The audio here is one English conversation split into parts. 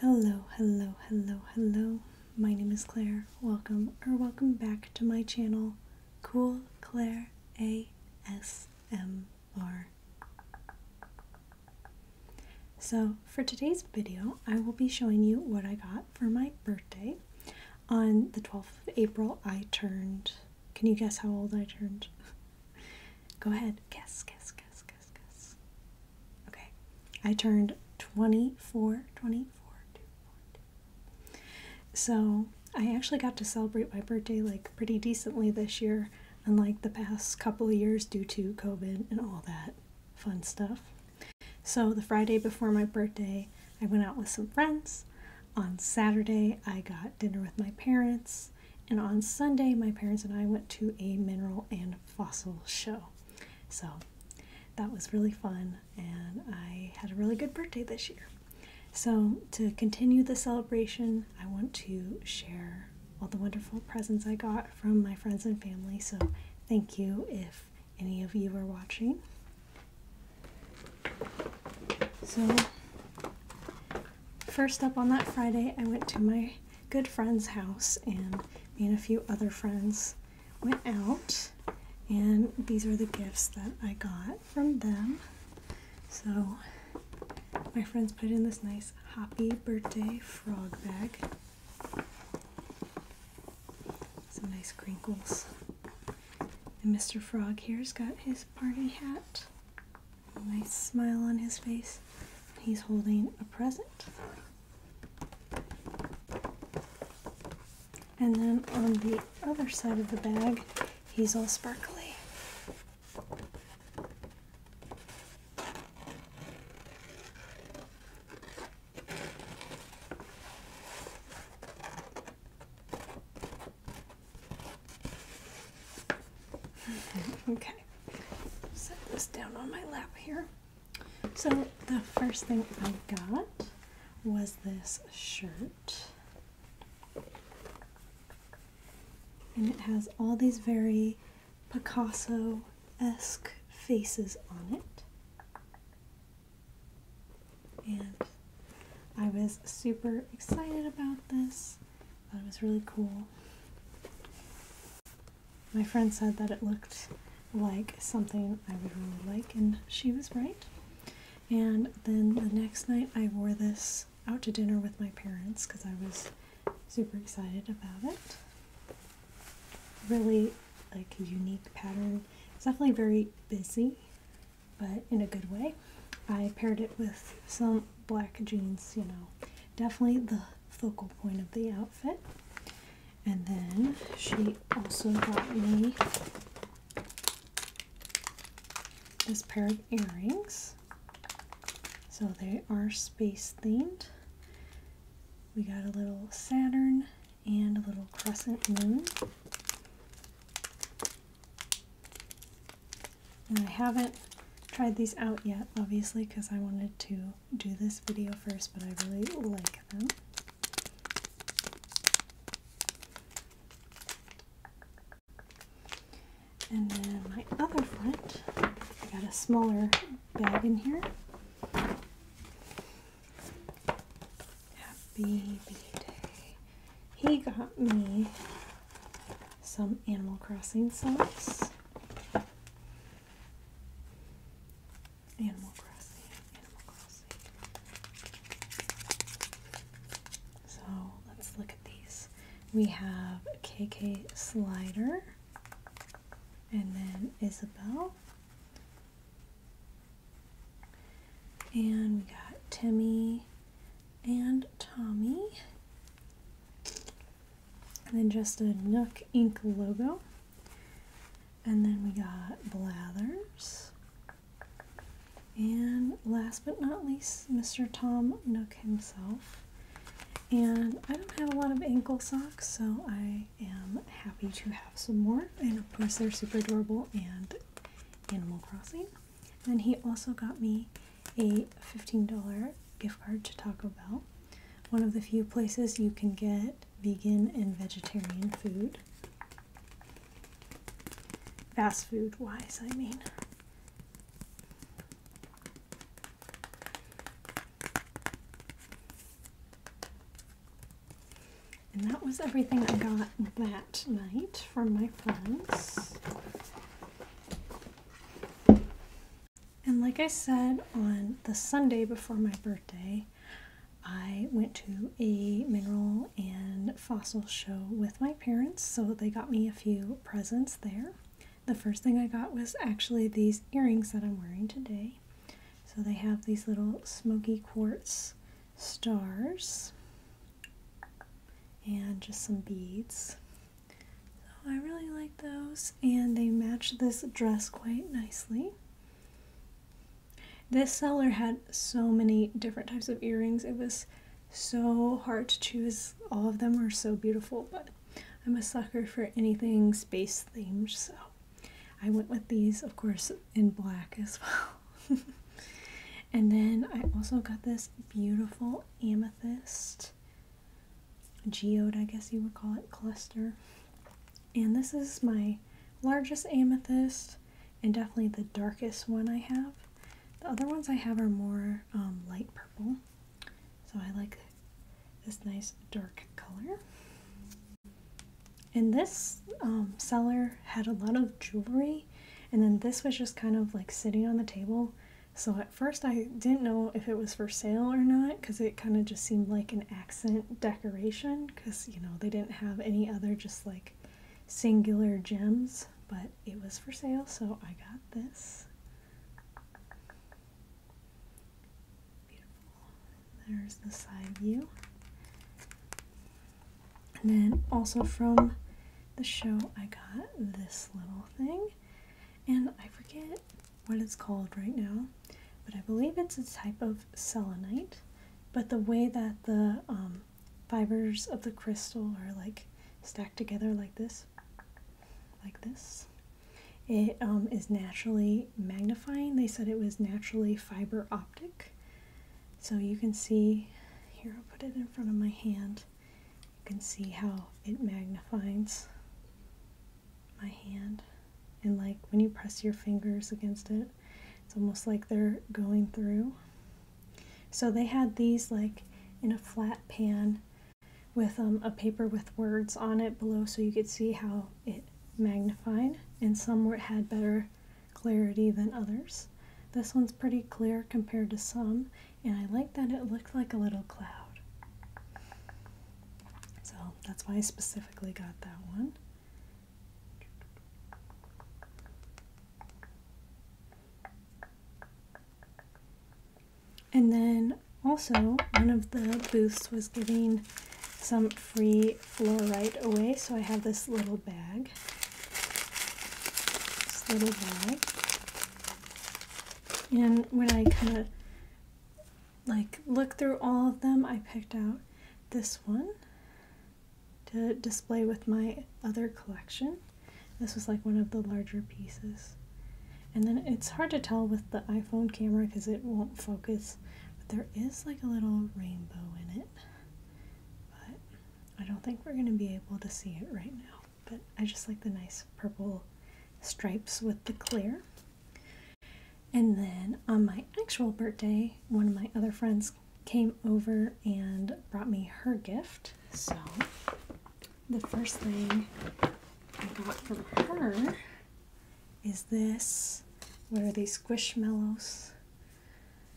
Hello, hello, hello, hello. My name is Claire. Welcome or welcome back to my channel, Cool Claire ASMR. So, for today's video, I will be showing you what I got for my birthday. On the 12th of April, I turned. Can you guess how old I turned? Go ahead, guess, guess, guess, guess. Okay, I turned 24, 24, 24. So I actually got to celebrate my birthday like pretty decently this year, unlike the past couple of years due to COVID and all that fun stuff. So the Friday before my birthday, I went out with some friends. On Saturday, I got dinner with my parents. And on Sunday, my parents and I went to a mineral and fossil show. So that was really fun, and I had a really good birthday this year. So, to continue the celebration, I want to share all the wonderful presents I got from my friends and family. So, thank you if any of you are watching. So, First up on that Friday, I went to my good friend's house, and me and a few other friends went out, and these are the gifts that I got from them. So, my friends put in this nice Happy Birthday frog bag. Some nice crinkles. And Mr. Frog here's got his party hat a nice smile on his face. He's holding a present. And then on the other side of the bag, he's all sparkly. okay, set this down on my lap here. So, the first thing I got was this shirt. And it has all these very Picasso esque faces on it. And I was super excited about this. That was really cool. My friend said that it looked like something I would really like, and she was right. And then the next night, I wore this out to dinner with my parents because I was super excited about it. Really, like a unique pattern. It's definitely very busy, but in a good way. I paired it with some black jeans, you know, definitely the focal point of the outfit. And then she also got me this pair of earrings. So they are space themed. We got a little Saturn and a little crescent moon. And I haven't tried these out yet, obviously, because I wanted to do this video first, but I really like them. And then my other friend I got a smaller bag in here. Happy B He got me some Animal Crossing songs. Animal Crossing. So let's look at these. We have KK Slider and then Isabel. And we got Timmy and Tommy. And then just a Nook Ink logo. And then we got Blathers. And last but not least, Mr. Tom Nook himself. And I don't have a lot of ankle socks, so I am happy to have some more. And of course, they're super adorable and Animal Crossing. And he also got me a $15 gift card to Taco Bell, one of the few places you can get vegan and vegetarian food. Fast food wise, I mean. And that was everything I got that night from my friends. And like I said, on the Sunday before my birthday, I went to a mineral and fossil show with my parents, so they got me a few presents there. The first thing I got was actually these earrings that I'm wearing today. So they have these little smoky quartz stars and just some beads. So I really like those and they match this dress quite nicely. This seller had so many different types of earrings. It was so hard to choose. All of them were so beautiful, but I'm a sucker for anything space themed, so I went with these, of course, in black as well. and then I also got this beautiful amethyst geode, I guess you would call it, cluster. And this is my largest amethyst and definitely the darkest one I have. The other ones I have are more um, light purple. So I like this nice dark color and this um, seller had a lot of jewelry and then this was just kind of like sitting on the table so at first i didn't know if it was for sale or not because it kind of just seemed like an accent decoration because you know they didn't have any other just like singular gems but it was for sale so i got this beautiful there's the side view and then also from the show, I got this little thing, and I forget what it's called right now, but I believe it's a type of selenite. But the way that the um, fibers of the crystal are like stacked together like this, like this, it um, is naturally magnifying. They said it was naturally fiber optic. So you can see, here I'll put it in front of my hand, you can see how it magnifies my hand. And like when you press your fingers against it, it's almost like they're going through. So they had these like in a flat pan with um, a paper with words on it below so you could see how it magnified. And some were, had better clarity than others. This one's pretty clear compared to some, and I like that it looked like a little cloud. So that's why I specifically got that one. And then also, one of the booths was giving some free take fluorite away, so I have this little bag. This little bag. And when I kind of like look through all of them, I picked out this one to display with my other collection. This was like one of the larger pieces. And then it's hard to tell with the iPhone camera because it won't focus but there is like a little rainbow in it. But I don't think we're going to be able to see it right now. But I just like the nice purple stripes with the clear. And then on my actual birthday, one of my other friends came over and brought me her gift. So the first thing I got from her is this. What are these squish mellows?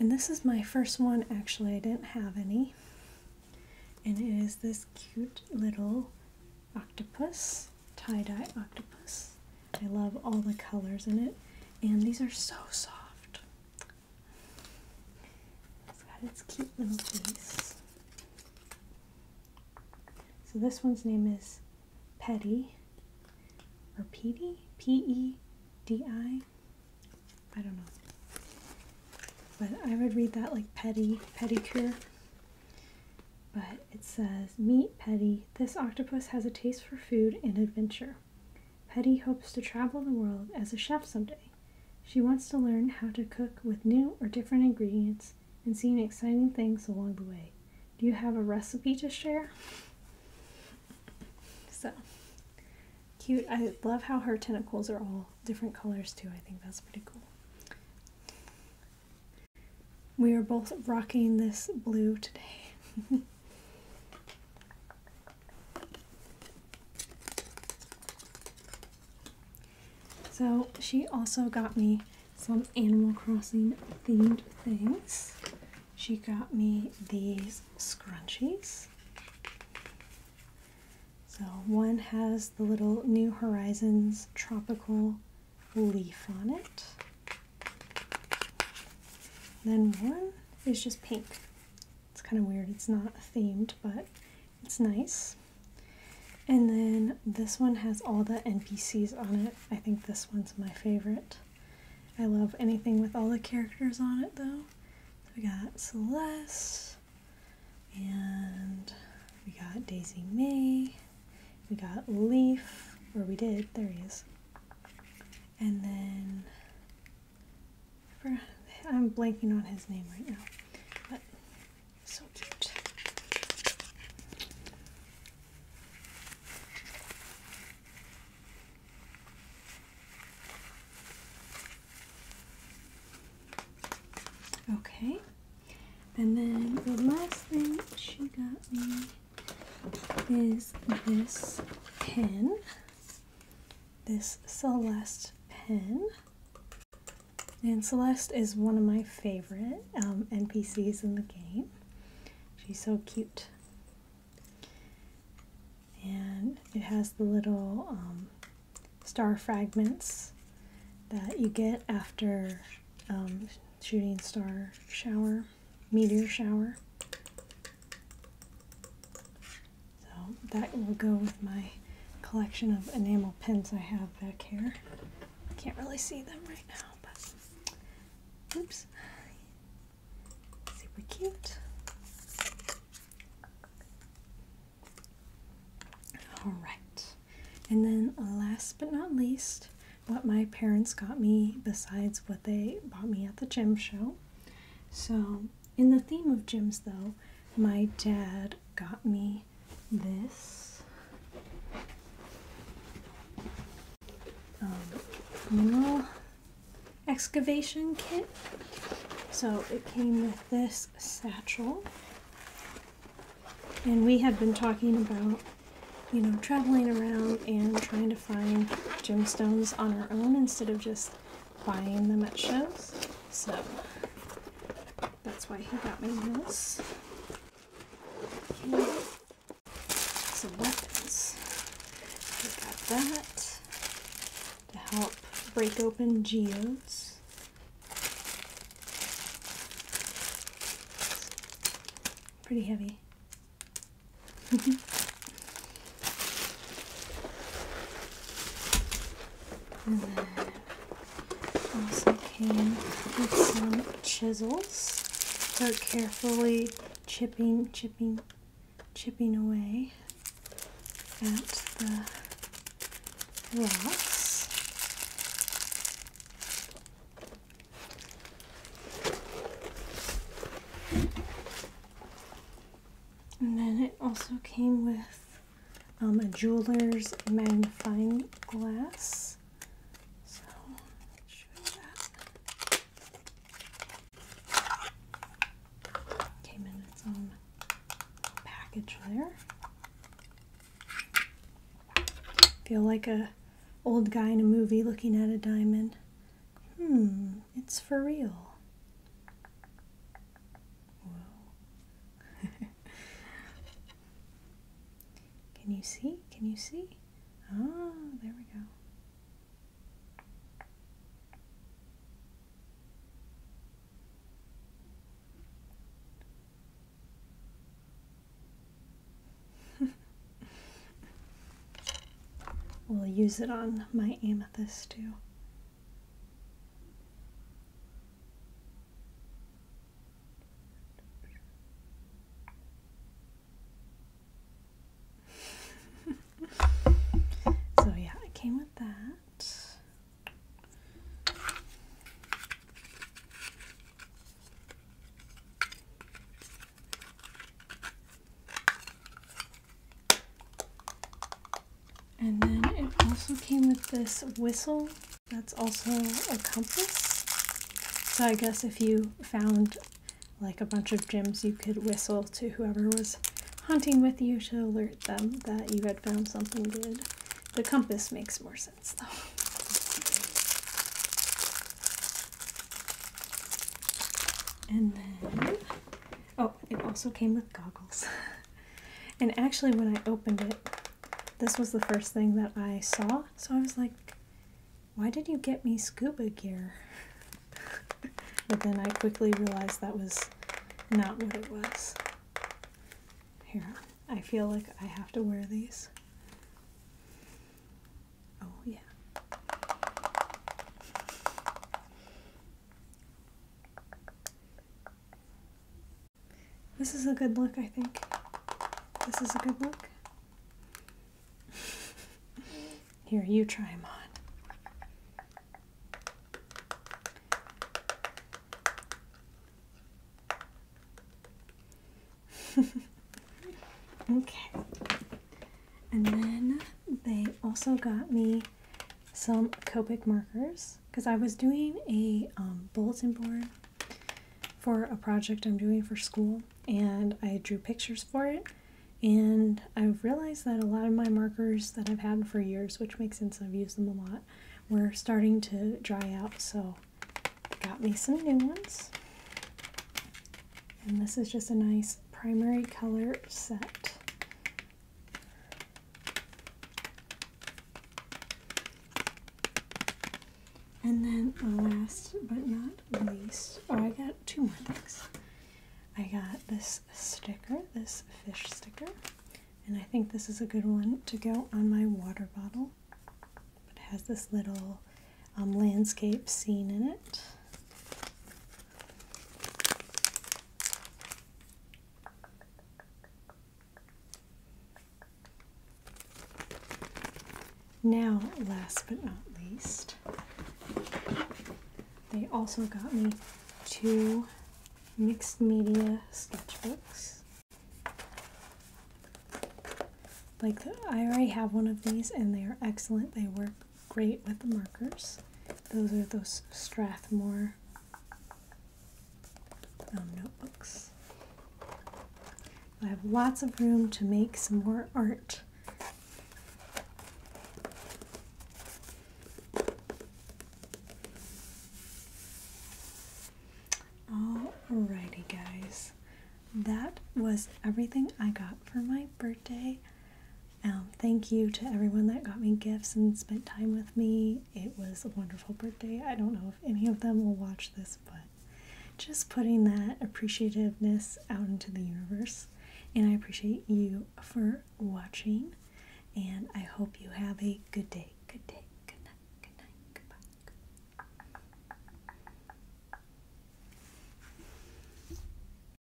And this is my first one, actually. I didn't have any. And it is this cute little octopus, tie-dye octopus. I love all the colors in it. And these are so soft. It's got its cute little face. So this one's name is Petty or Petey? P E D I? I don't know. But I would read that like Petty, Pedicure. But it says, Meet Petty. This octopus has a taste for food and adventure. Petty hopes to travel the world as a chef someday. She wants to learn how to cook with new or different ingredients progress and seen exciting things along the way. Do you have a recipe to share? So cute. I love how her tentacles are all different colors too. I think that's pretty cool. We are both rocking this blue today. so she also got me some Animal Crossing themed things. She got me these scrunchies. So one has the little New Horizons tropical leaf on it. Then one is just pink. It's kind of weird, it's not themed, but it's nice. And then this one has all the NPCs on it. I think this one's my favorite. I love anything with all the characters on it though. we got Celeste, and we got Daisy May, we got Leaf, or we did, there he is. And then, I'm blanking on his name right now, so cute. Okay. And then the last thing she got me is this pen. This Celeste pen. And Celeste is one of my favorite um, NPCs in the game. She's so cute. And it has the little um, star fragments that you get after um, shooting star shower, meteor shower. So that will go with my collection of enamel pins I have back here. I can't really see them right now, but oops. Super cute. Alright. And then last but not least, what my parents got me besides what they bought me at the gym show. So in the theme of gyms though, my dad got me this mineral um, excavation kit. So it came with this satchel. And we had been talking about, you know, traveling around and trying to find gemstones on our own instead of just buying them at shows. So that's why he got me this. Some weapons. We got that to help break open geodes. Pretty heavy. and also came with some chisels for carefully chipping, chipping, chipping away at the rocks. And then it also came with um, a jeweler's magnifying glass. So, show that. Came in its own package there. Feel like a old guy in a movie looking at a diamond. Hmm, it's for real. Can you see? Can you see? Ah, there we go. we'll use it on my amethyst too. so yeah, it came with that. And then it also came with this whistle that's also a compass. So I guess if you found like a bunch of gems, you could whistle to whoever was hunting with you to alert them that you had found something good. The compass makes more sense though. And oh, it also came with goggles. and actually, when I opened it, this was the first thing that I saw. So I was like, why did you get me scuba gear? but then I quickly realized that was not what it was. Here, I feel like I have to wear these. Oh, yeah. This is a good look, I think. This is a good look. Here, you try them on. okay. And then they also got me some Copic markers because I was doing a um, bulletin board for a project I'm doing for school and I drew pictures for it and I've realized that a lot of my markers that I've had for years, which makes sense, I've used them a lot, were starting to dry out so got me some new ones. And this is just a nice primary color set and then the uh, last but not least, oh I got two more things. I got this sticker, this fish sticker, and I think this is a good one to go on my water bottle. It has this little um, landscape scene in it. Now, last but not least, they also got me two mixed media sketchbooks. Like, I already have one of these and they are excellent. They work great with the markers. Those are those Strathmore um, notebooks. I have lots of room to make some more art. Alrighty guys, that was everything I got for my birthday. Um, thank you to everyone that got me gifts and spent time with me. It was a wonderful birthday. I don't know if any of them will watch this, but just putting that appreciativeness out into the universe. And I appreciate you for watching. And I hope you have a good day. Good day. Good night. Good night. Goodbye.